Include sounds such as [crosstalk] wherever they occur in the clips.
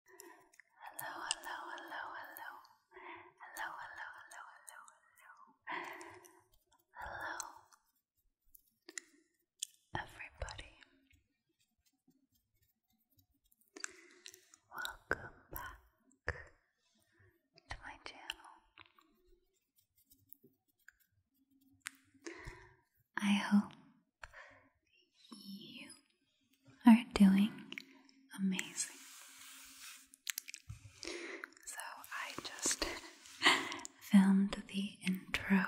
Hello, hello, hello, hello. Hello, hello, hello, hello, hello. Everybody. Welcome back to my channel. I hope you are doing amazing. So I just [laughs] filmed the intro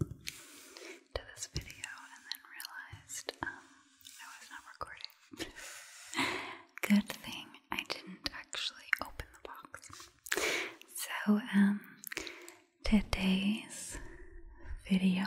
to this video and then realized um, I was not recording. [laughs] Good thing I didn't actually open the box. So, um, today's video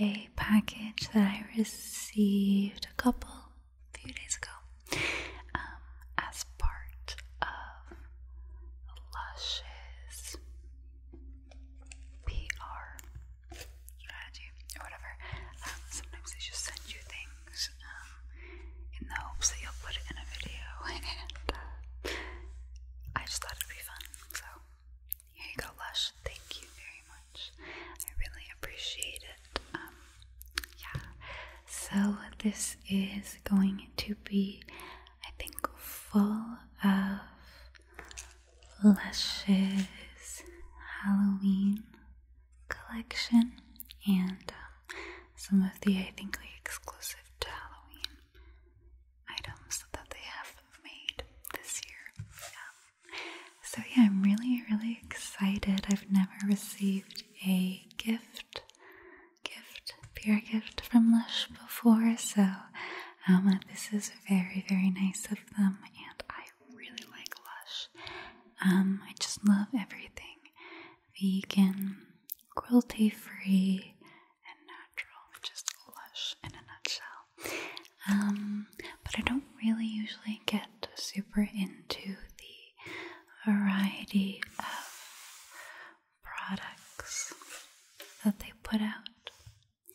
a package that I received a couple, few days ago, um, as part of Lush's PR strategy or whatever. Um, sometimes they just send you things um, in the hopes that you'll put it in a video, [laughs] and uh, I just thought it'd be fun. So here you go, Lush. Thank you much. I really appreciate it. Um, yeah. So this is going to be, I think, full of Lush's Halloween collection and um, some of the, I think, like, exclusive to Halloween items that they have made this year. Yeah. So, yeah, I'm really, really excited. I've never received a gift, gift, pure gift from Lush before, so um, this is very, very nice of them, and I really like Lush. Um, I just love everything vegan, cruelty free, and natural. Just Lush in a nutshell um, but I don't really usually get super into the variety of products that they put out.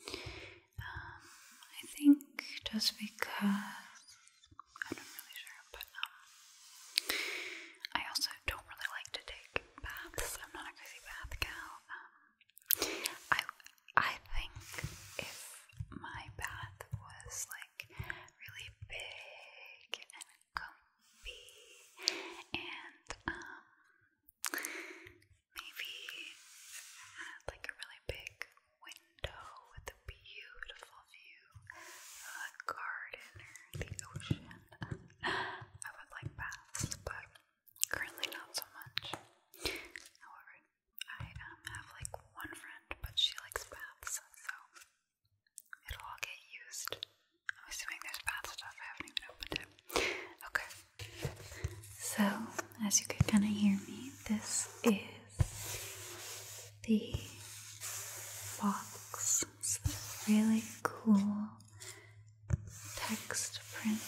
Um, I think just because I'm not really sure, but um, I also don't really like to take baths. I'm not a crazy bath gal. Um, I think if my bath was like really big and comfy and um maybe like a really big window with a beautiful view a garden or the ocean, I would like baths, but currently not so much. However, I um, have like one friend, but she likes baths, so it'll all get used. I'm assuming there's bath stuff, I haven't even opened it. Okay. So, as you could kind of hear me, this is the box. It's this really cool text print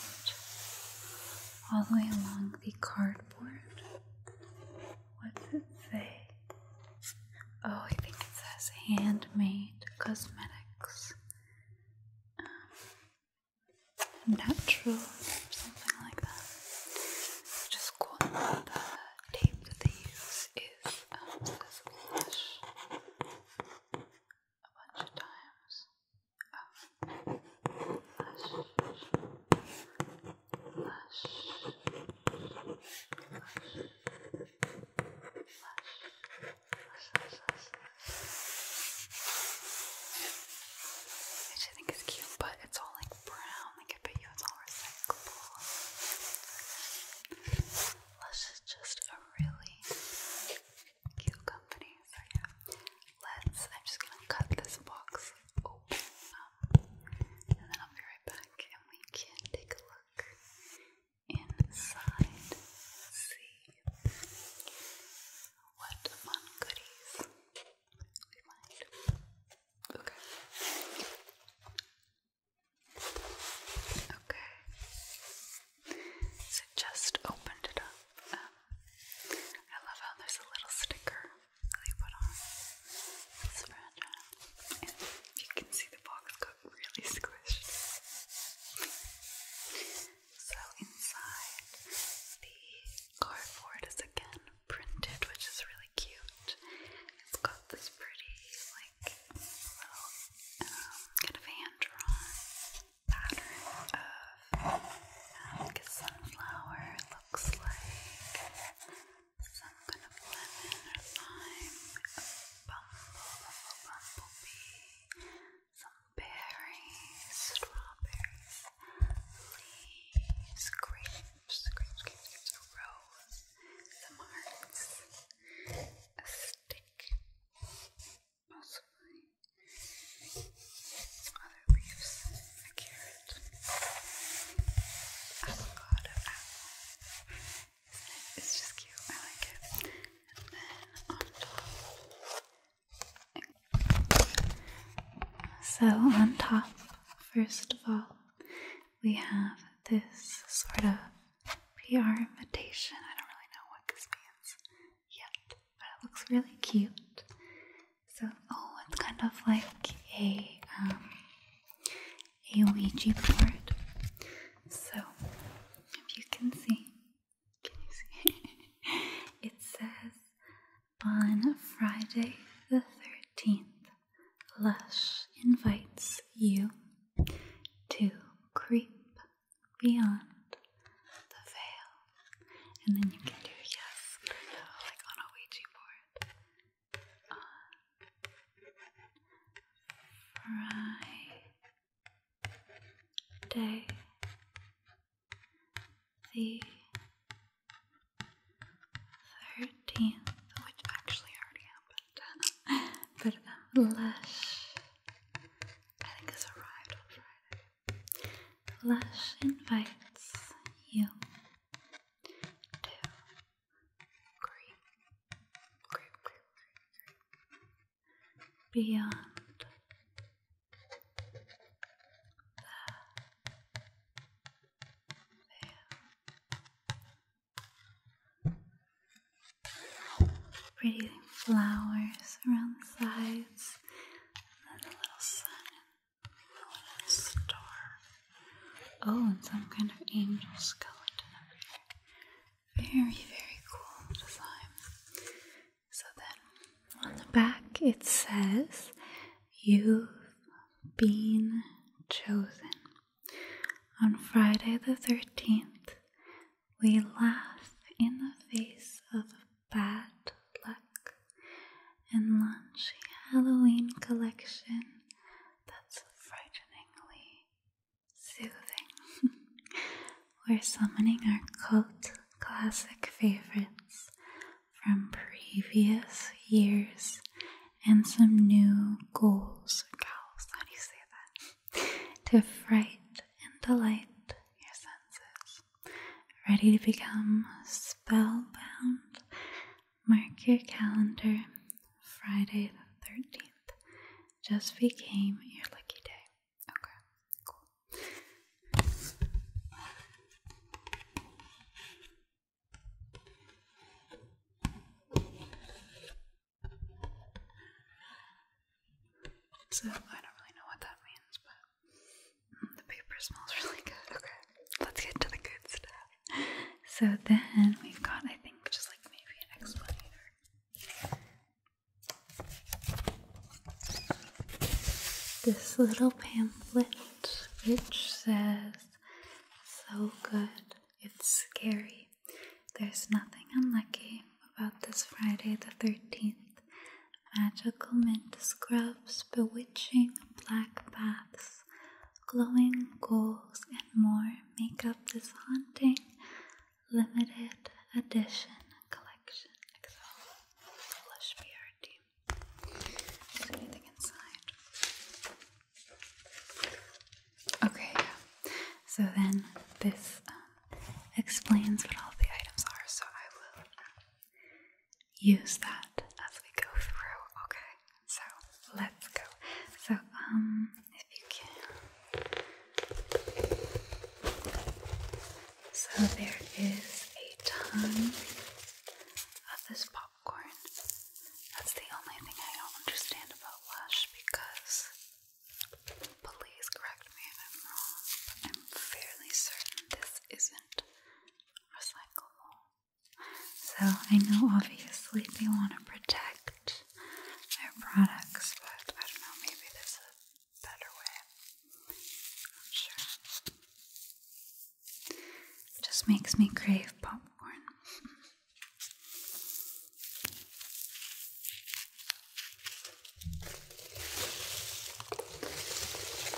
all the way along the cardboard. What's it say? Oh, I think it says handmade cosmetics. Um, natural, something like that. Just cool. The tape that they use is um, a bunch of times. Um, Flush. Flush. I think it's cute, but it's all like brown. Like I bet you it's all recyclable. Lush is just a really cute company. So yeah, let's. I'm just gonna cut this box open up, um, and then I'll be right back and we can take a look inside, see what fun goodies we find. Okay. Okay. So just opened it up. Um, I love how there's a little sticker they on this fragile. And you can see the box got really squished. So inside the cardboard is again printed, which is really cute. It's got this pretty like little um, kind of hand drawn pattern of like a sunflower looks like. So I'm gonna lime, a bumble, some berries, strawberries, leaves, grapes, grapes, grapes, a rose, some hearts, a stick, possibly leaves, a carrot, avocado, It's just cute. I like it. So on top, first of all, we have this sort of PR invitation. I don't really know what this means yet, but it looks really cute. So, oh, it's kind of like a um, a Ouija board. So, if you can see, can you see? [laughs] it says on Friday the thirteenth, Lush invites you to creep beyond the veil, and then you can do yes or like on a Ouija board on Friday the thirteenth, which actually already happened, but um, uh, Lush, I think this arrived on Friday. Lush invites you two, creep, creep, creep, creep, beyond the veil. Pretty flowers around the sides, and a little sun star. Oh, and some kind of angel skeleton over Very, very cool design. So then on the back it says, You've been chosen. On Friday the 13th, we laugh in the face of bad luck and launch a Halloween collection that's frighteningly soothing. [laughs] We're summoning our cult classic favorites from previous years and some new goals. how do you say that? [laughs] to fright and delight your senses. Ready to become spellbound Mark your calendar. Friday the 13th just became your lucky day. Okay, cool. So, I don't really know what that means, but the paper smells really good. Okay, let's get to the good stuff. So then we've got, I think, just like maybe an explainer. This little pamphlet which says, So good, it's scary. There's nothing unlucky about this Friday the 13th. Magical mint scrubs, bewitching black baths, glowing goals and more make up this haunting limited edition collection. Okay, So then this um, explains what all the items are, so I will um, use that as we go through. Okay, so let's go. So, um, if you can. So, there is a ton of this popcorn. That's the only thing I don't understand about Lush because, please correct me if I'm wrong, I'm fairly certain this isn't recyclable. So I know obviously they want to protect their products, but I don't know, maybe there's a better way. Not sure. just makes me crave popcorn.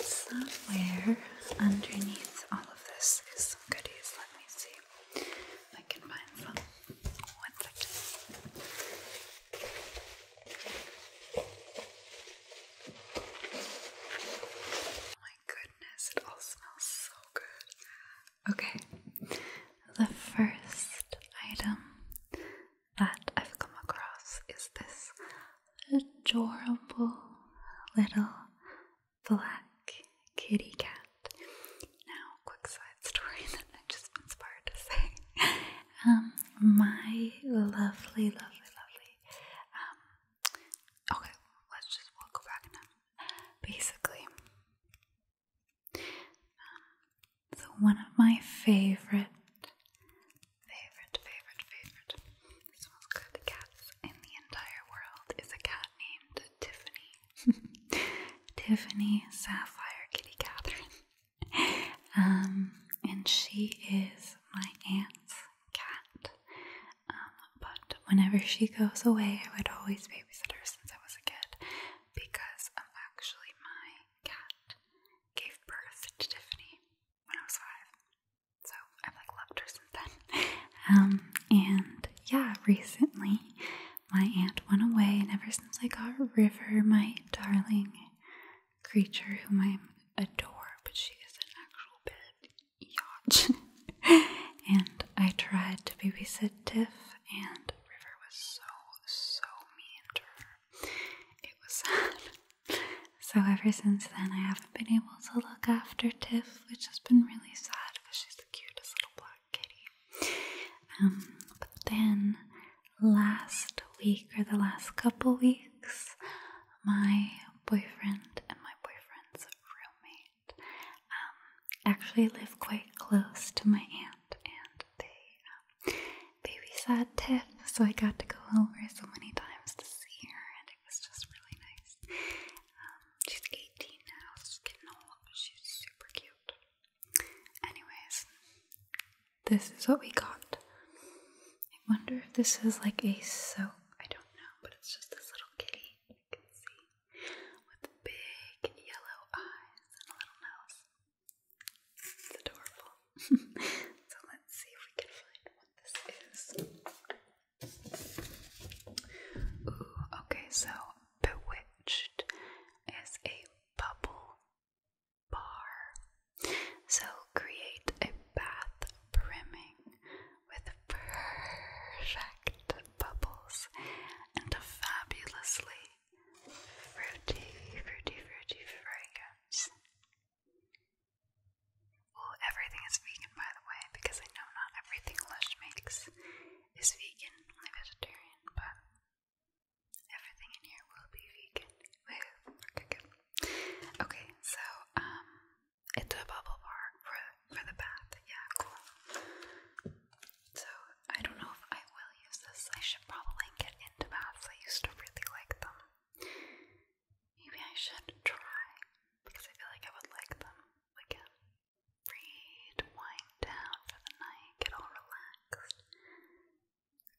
Somewhere underneath all of this else some goodies. Let me see if I can find some. Oh my goodness, it all smells so good. Okay, the first item that I've come across is this adorable little black kitty cat. Now, quick side story [laughs] that I just inspired to say. Um, my lovely, lovely, lovely. Um, okay, let's just we back now. Basically, um, so one of my favorite, favorite, favorite, favorite this one's Cats in the Entire World is a cat named Tiffany. [laughs] Tiffany Sapphire Kitty Catherine. um, and she is my aunt's cat. Um, but whenever she goes away, I would always babysit her since I was a kid because actually my cat gave birth to Tiffany when I was five. So I've like loved her since then. [laughs] Um, and yeah, recently my aunt went away, and ever since I got River, my darling creature, whom I adore, but she is an actual bit yacht. [laughs] and I tried to babysit Tiff, and River was so so mean to her. It was [laughs] sad. So ever since then, I haven't been able to look after Tiff which has been really sad because she's the cutest little black kitty. Um, but then last week or the last couple weeks, my boyfriend and my boyfriend's roommate um, actually live quite close to my aunt, and they um, babysat Tiff, so I got to go over so many times to see her, and it was just really nice she's 18 now, she's getting old, she's super cute. Anyways, this is what we got. I wonder if this is like a soap. I don't know, but it's just this little kitty you can see with big yellow eyes and a little nose. It's adorable. [laughs] so let's see if we can find what this is. Ooh, okay, so Bewitched is a bubble bar. So create a bath brimming with perfect bubbles and a fabulously fruity, fruity, fruity fragrance. Well, everything is vegan, by the way, because I know not everything Lush makes is vegan, only vegetarian, but everything in here will be vegan. Okay, good. Okay, so, um, it's a bubble bar for, for the bath. Yeah, cool. So, I don't know if I will use this. I should probably get into baths. I used to really like them. Maybe I should try because I feel like I would like them we can uh, read, wind down for the night, get all relaxed.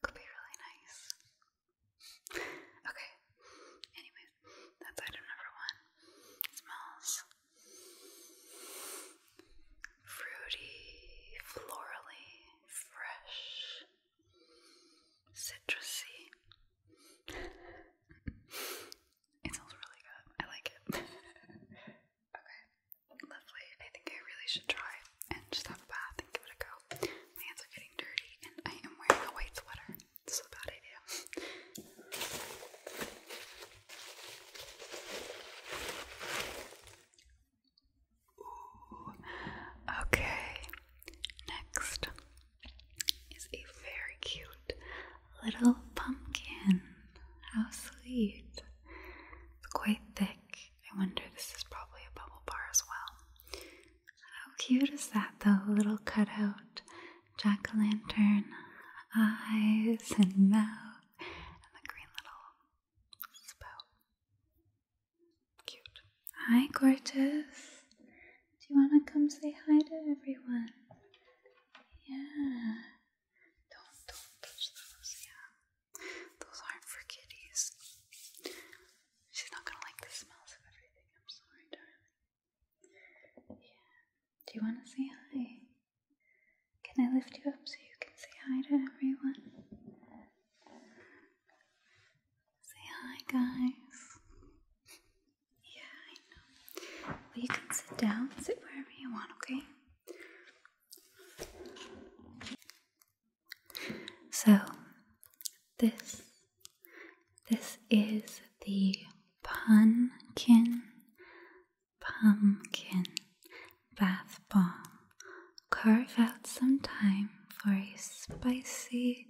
Could be really nice. [laughs] okay. Anyways, that's item number one. smells fruity, florally, fresh, citrusy. [laughs] It smells really good. I like it. [laughs] okay, lovely. I think I really should try and just have a bath and give it a go. My hands are getting dirty, and I am wearing a white sweater. This a bad idea. Okay, next is a very cute little pumpkin. How sweet. It's quite thick. I wonder this is probably a bubble bar as well. How cute is that though? little cutout jack-o'-lantern eyes and mouth and the green little spout. Cute. Hi, gorgeous. Do you want to come say hi to everyone? Yeah. Don't don't touch those. Yeah, those aren't for kitties. She's not gonna like the smells of everything. I'm sorry, darling. Yeah. Do you want to say hi? Can I lift you up so you can say hi to everyone? Say hi, guys. Yeah, I know. Well, you can sit down, sit wherever you want, okay? So, this this is the pumpkin pumpkin bath bomb. Carve out some time for a spicy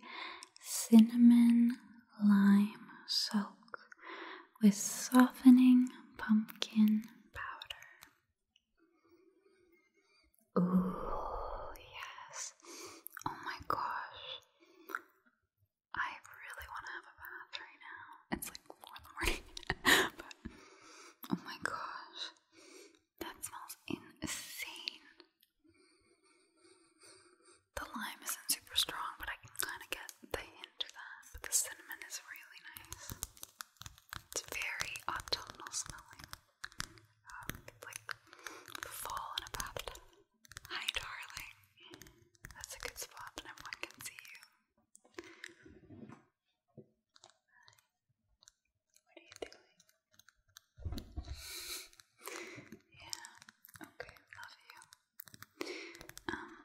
cinnamon lime soak with softening pumpkin powder. Ooh, yes. Oh my gosh. I really want to have a bath right now. It's like 4 in the morning. [laughs] but oh my gosh. That smells insane. The lime isn't super strong, but I can kind of get the hint of that. But the cinnamon is really nice. It's very autumnal smelling. Um, like fall in a Hi, darling. That's a good spot, and everyone can see you. What are you doing? Yeah. Okay, love you. Um,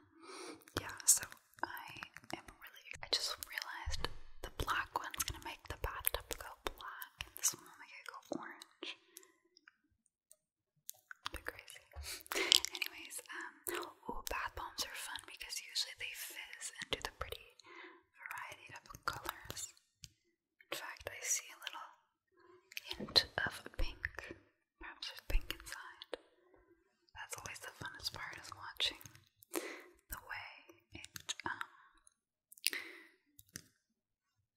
yeah, so I am really, I just realized the black one's gonna make the bathtub go black and this one will make it go orange. A bit crazy. Anyways, um, ooh, bath bombs are fun because usually they fizz and do the pretty variety of colors. In fact, I see a little hint of pink. Perhaps there's pink inside. That's always the funnest part is watching the way it um,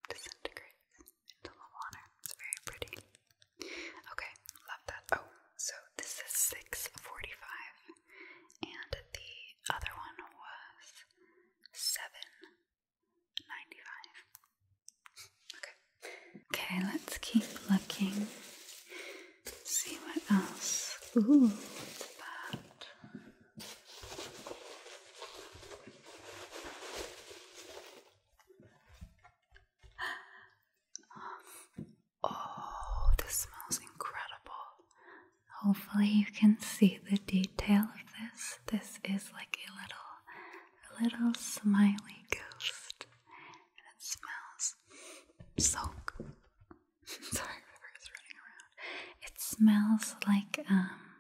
disintegrates into the water. It's very pretty. Okay, love that. Oh, so this is 645 and the other one was 795. Okay. Okay, let's keep looking. See what else. Ooh, it's [gasps] Oh, this smells incredible. Hopefully, you can see the detail of this. This is like a little, little smiley ghost it smells so good. [laughs] Sorry, River's running around. It smells like um,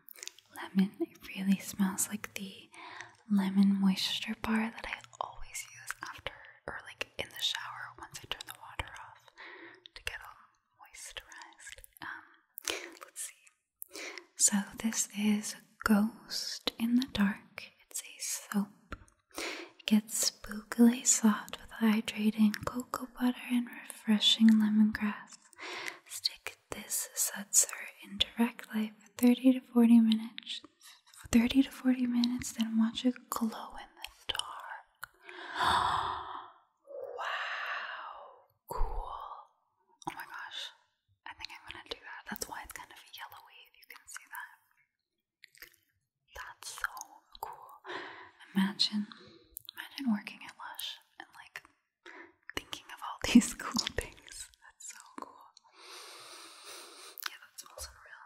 lemon. It really smells like the lemon moisture bar that I always use after or like in the shower once I turn the water off to get all moisturized. Um, let's see. So, this is a Ghost in the Dark. It's a soap. It gets spookily soft with hydrating cocoa butter and refreshing lemongrass. Stick this sutzer in direct light for 30 to 40 minutes. 30 to 40 minutes, then watch it glow in the dark. [gasps] wow, cool. Oh my gosh, I think I'm gonna do that. That's why it's kind of yellowy, if you can see that. That's so cool. Imagine, imagine working at Lush and like thinking of all [laughs] these cool things. That's so cool. Yeah, that's smells real.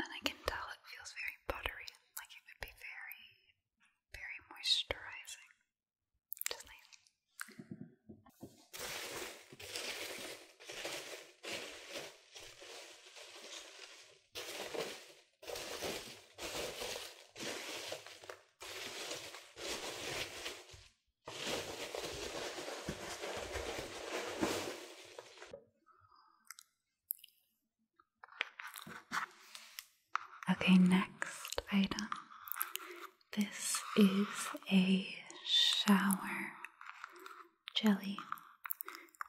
And I can tell it feels very buttery, like it would be very, very moisturizing. Okay, next item this is a shower jelly,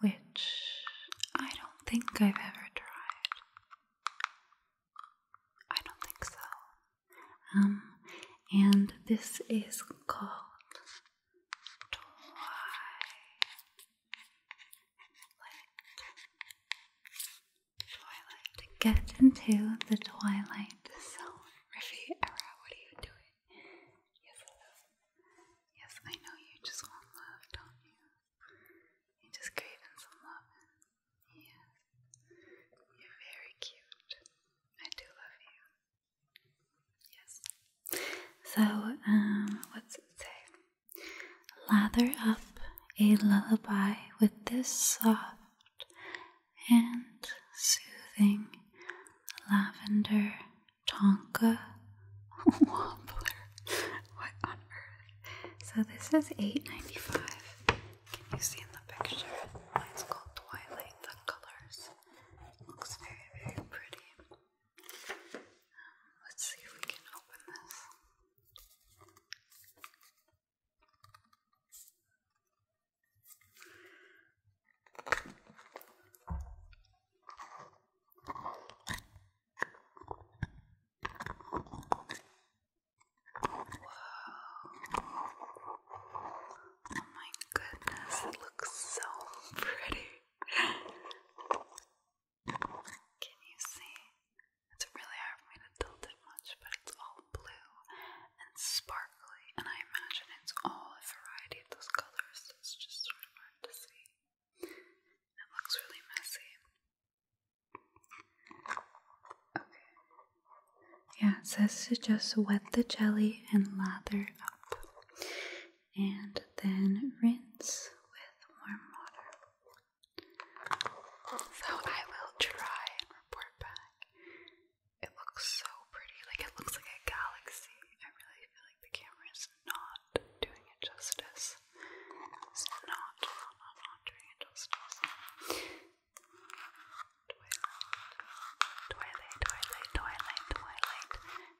which I don't think I've ever tried. I don't think so. Um, and this is called Twilight. Twilight. Get into the Twilight Zone. Murphy, [laughs] Era, what are you doing? Yes, Yes, I know you just want love, don't you? You just craving some love. Yes. You're very cute. I do love you. Yes. So, um, what's it say? Lather up a lullaby with this soft, and soothing lavender tonka [laughs] wobbler. What on earth? So this is eight ninety five. Can you see in the picture? It's called Twilight. The colors looks very very pretty. let's see if we can open this. Whoa. Oh my goodness, it looks so pretty. Can you see? It's really hard for me to tilt it much, but it's all blue and sparkly, and I imagine it's all a variety of those colors. So it's just sort of hard to see. It looks really messy. Okay. Yeah, it says to just wet the jelly and lather up, and then rinse with warm water. So I will try and report back it looks so pretty. Like it looks like a galaxy. I really feel like the camera is not doing it justice. It's not, not, doing it justice. Twilight, twilight, twilight, twilight,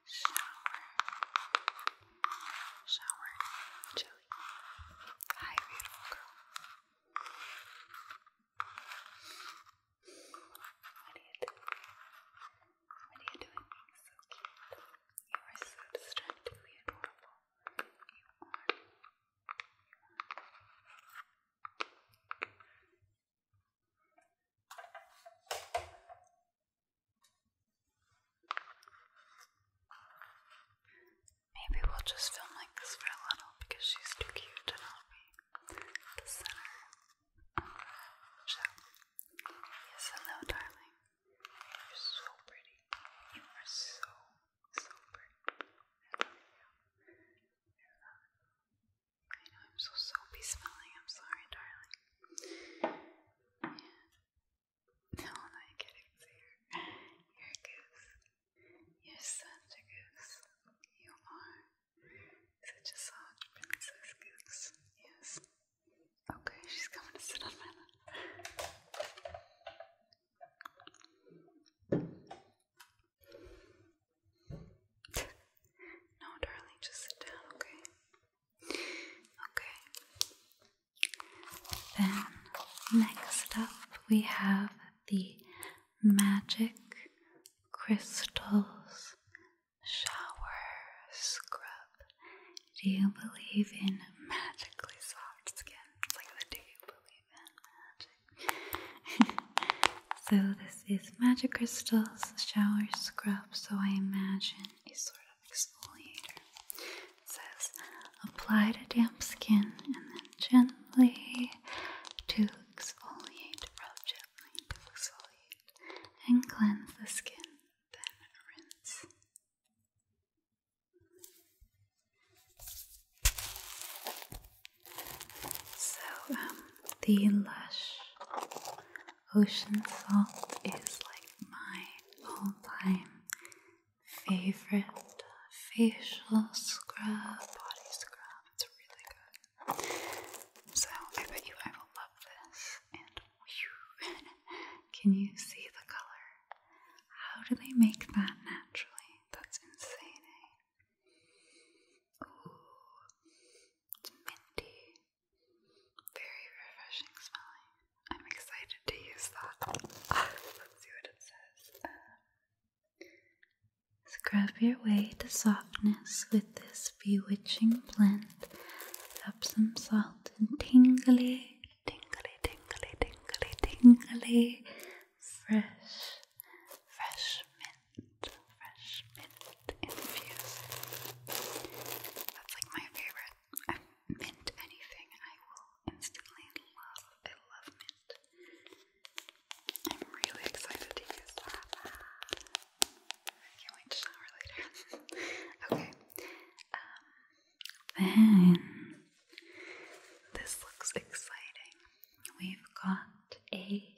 shower, shower, chilly. Hi, beautiful girl. What are you doing? What are you doing? So cute. You are so distractingly adorable. You are. Maybe we'll just film like this for a little because she's too cute to not be the center yes, hello, darling. You're so pretty. You are so, so pretty. I love you. I know I'm so soapy smelling. I'm sorry, darling. No, I'm not getting to your, your goose. You're such a goose. You are. Such a soft princess goose. Yes. Okay, she's coming to sit on my no, darling, just sit down, okay? Okay. Then next up we have the magic crystals shower scrub. Do you believe in magically soft skin? magic? [laughs] so this is magic crystals shower scrub. So I imagine a sort of exfoliator. It says apply to damp skin and then gently to exfoliate, rub gently exfoliate and cleanse the skin, then rinse. So, um, the Lush Ocean Salt is like my all time favorite facial scrub, body scrub. It's really good. So I bet you I will love this. And [laughs] can you see the color? How do they make that naturally? That's insane, eh? Ooh, it's minty. Very refreshing smelling. I'm excited to use that. [laughs] Let's see what it says. Scrub your way to softness with this bewitching blend. Up some salt and tingly, tingly, tingly, tingly, tingly, fresh, fresh mint, fresh mint infused. That's like my favorite. I mint anything, I will instantly love. I love mint. I'm really excited to use that. I can't wait to shower later. [laughs] okay. Um, then this looks exciting. We've got a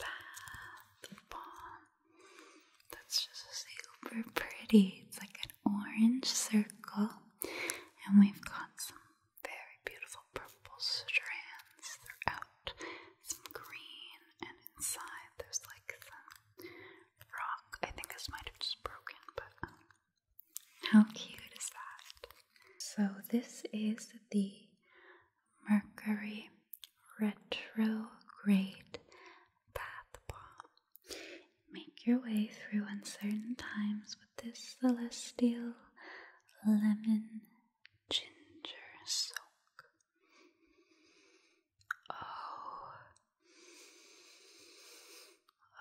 bath bomb. That's just super pretty. It's like an orange circle, and we've got some very beautiful purple strands throughout some green, and inside there's like some rock. I think this might have just broken, but um, how cute is that? So, this is the Mercury Retrograde Bath Bomb. Make your way through uncertain times with this celestial lemon ginger soak. Oh,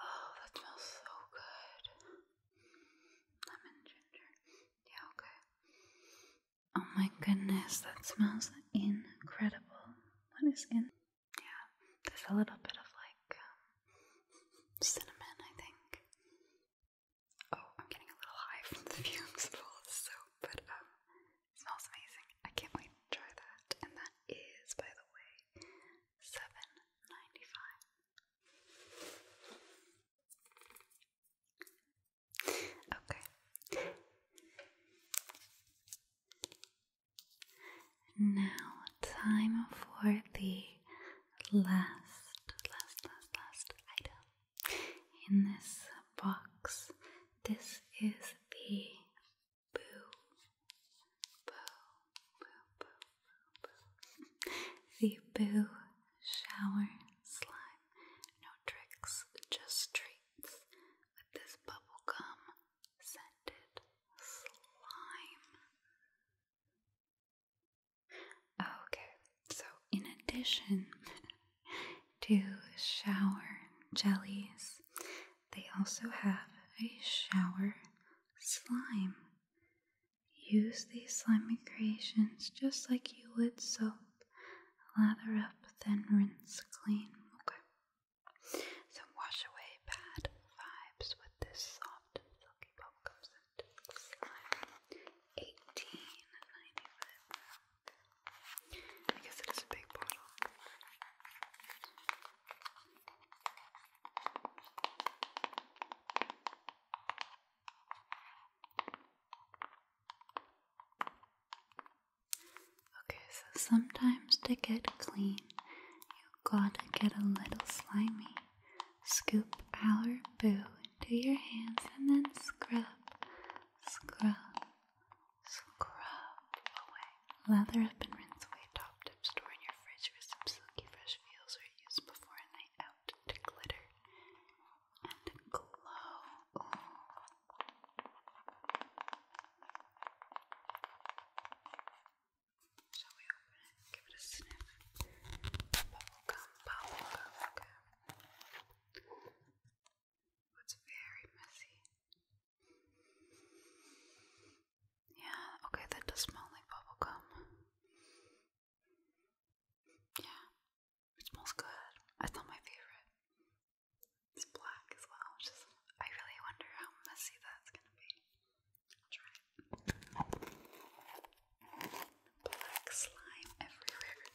oh, that smells so good. Lemon ginger. Yeah, okay. Oh my goodness, that smells incredible. What is in? Yeah, there's a little bit of like um, cinnamon, I think. Oh, I'm getting a little high from the [laughs] fumes full of soap, but um, smells amazing. I can't wait to try that. And that is, by the way, seven ninety five. Okay. Now, time for the last, last, last, last item in this box. This is the boo, boo, boo, boo, boo, the boo shower slime. No tricks, just treats with this bubblegum scented slime. Okay, so in addition [laughs] to shower jellies, they also have a shower slime. Use these slimy creations just like you would soap. Lather up, then rinse clean. Okay. So wash away bad vibes with this soft silky bubblegum scent. Eighteen ninety-five. Okay, so sometimes to get clean, you gotta get a little slimy. Scoop our boo into your hands and then scrub Scrub, scrub away. Lather up and rinse away top tips. Store in your fridge for some silky fresh feels or use before a night out to glitter and glow. Shall we open it? Give it a sniff. Bubblegum, bubblegum, okay. It's very messy. Yeah, okay, that does smell like bubblegum. Yeah, it smells good. That's not my favorite. It's black as well, I really wonder how messy that's gonna be. try it. Black slime everywhere.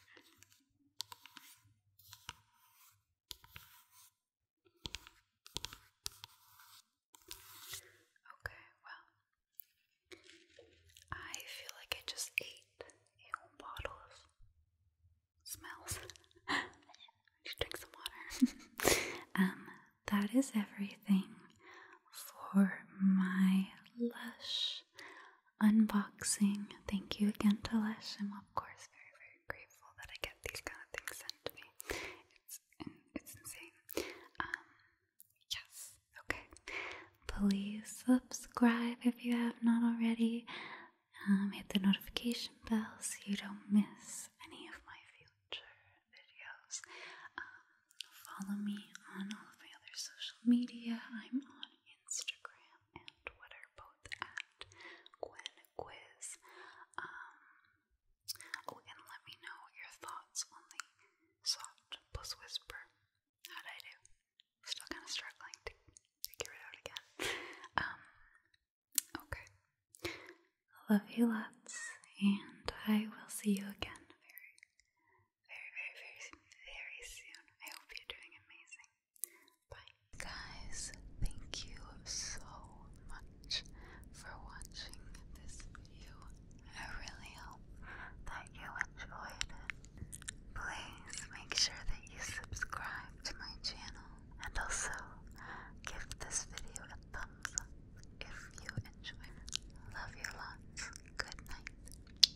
Okay, well, I feel like I just ate a whole bottle of smells. [laughs] I drink some water. [laughs] um, that is everything for my lush unboxing. Thank you again to Lesh. I'm of course very, very grateful that I get these kind of things sent to me. It's it's insane. Um, yes. Okay. Please subscribe if you have not already. Um, hit the notification bell so you don't miss any of my future videos. Um, follow me on all of my other social media. I'm on Instagram and Twitter, both at Gwen Quiz. Um, oh, and let me know your thoughts on the soft plus whisper. How'd I do? Still kind of struggling to figure it out again. Um, okay. Love you lots, and I will see you again very, very, very, very, very soon. I hope you're doing amazing. Guys, thank you so much for watching this video. I really hope that you enjoyed Please make sure that you subscribe to my channel and also give this video a thumbs up if you enjoyed Love you lots. Good night.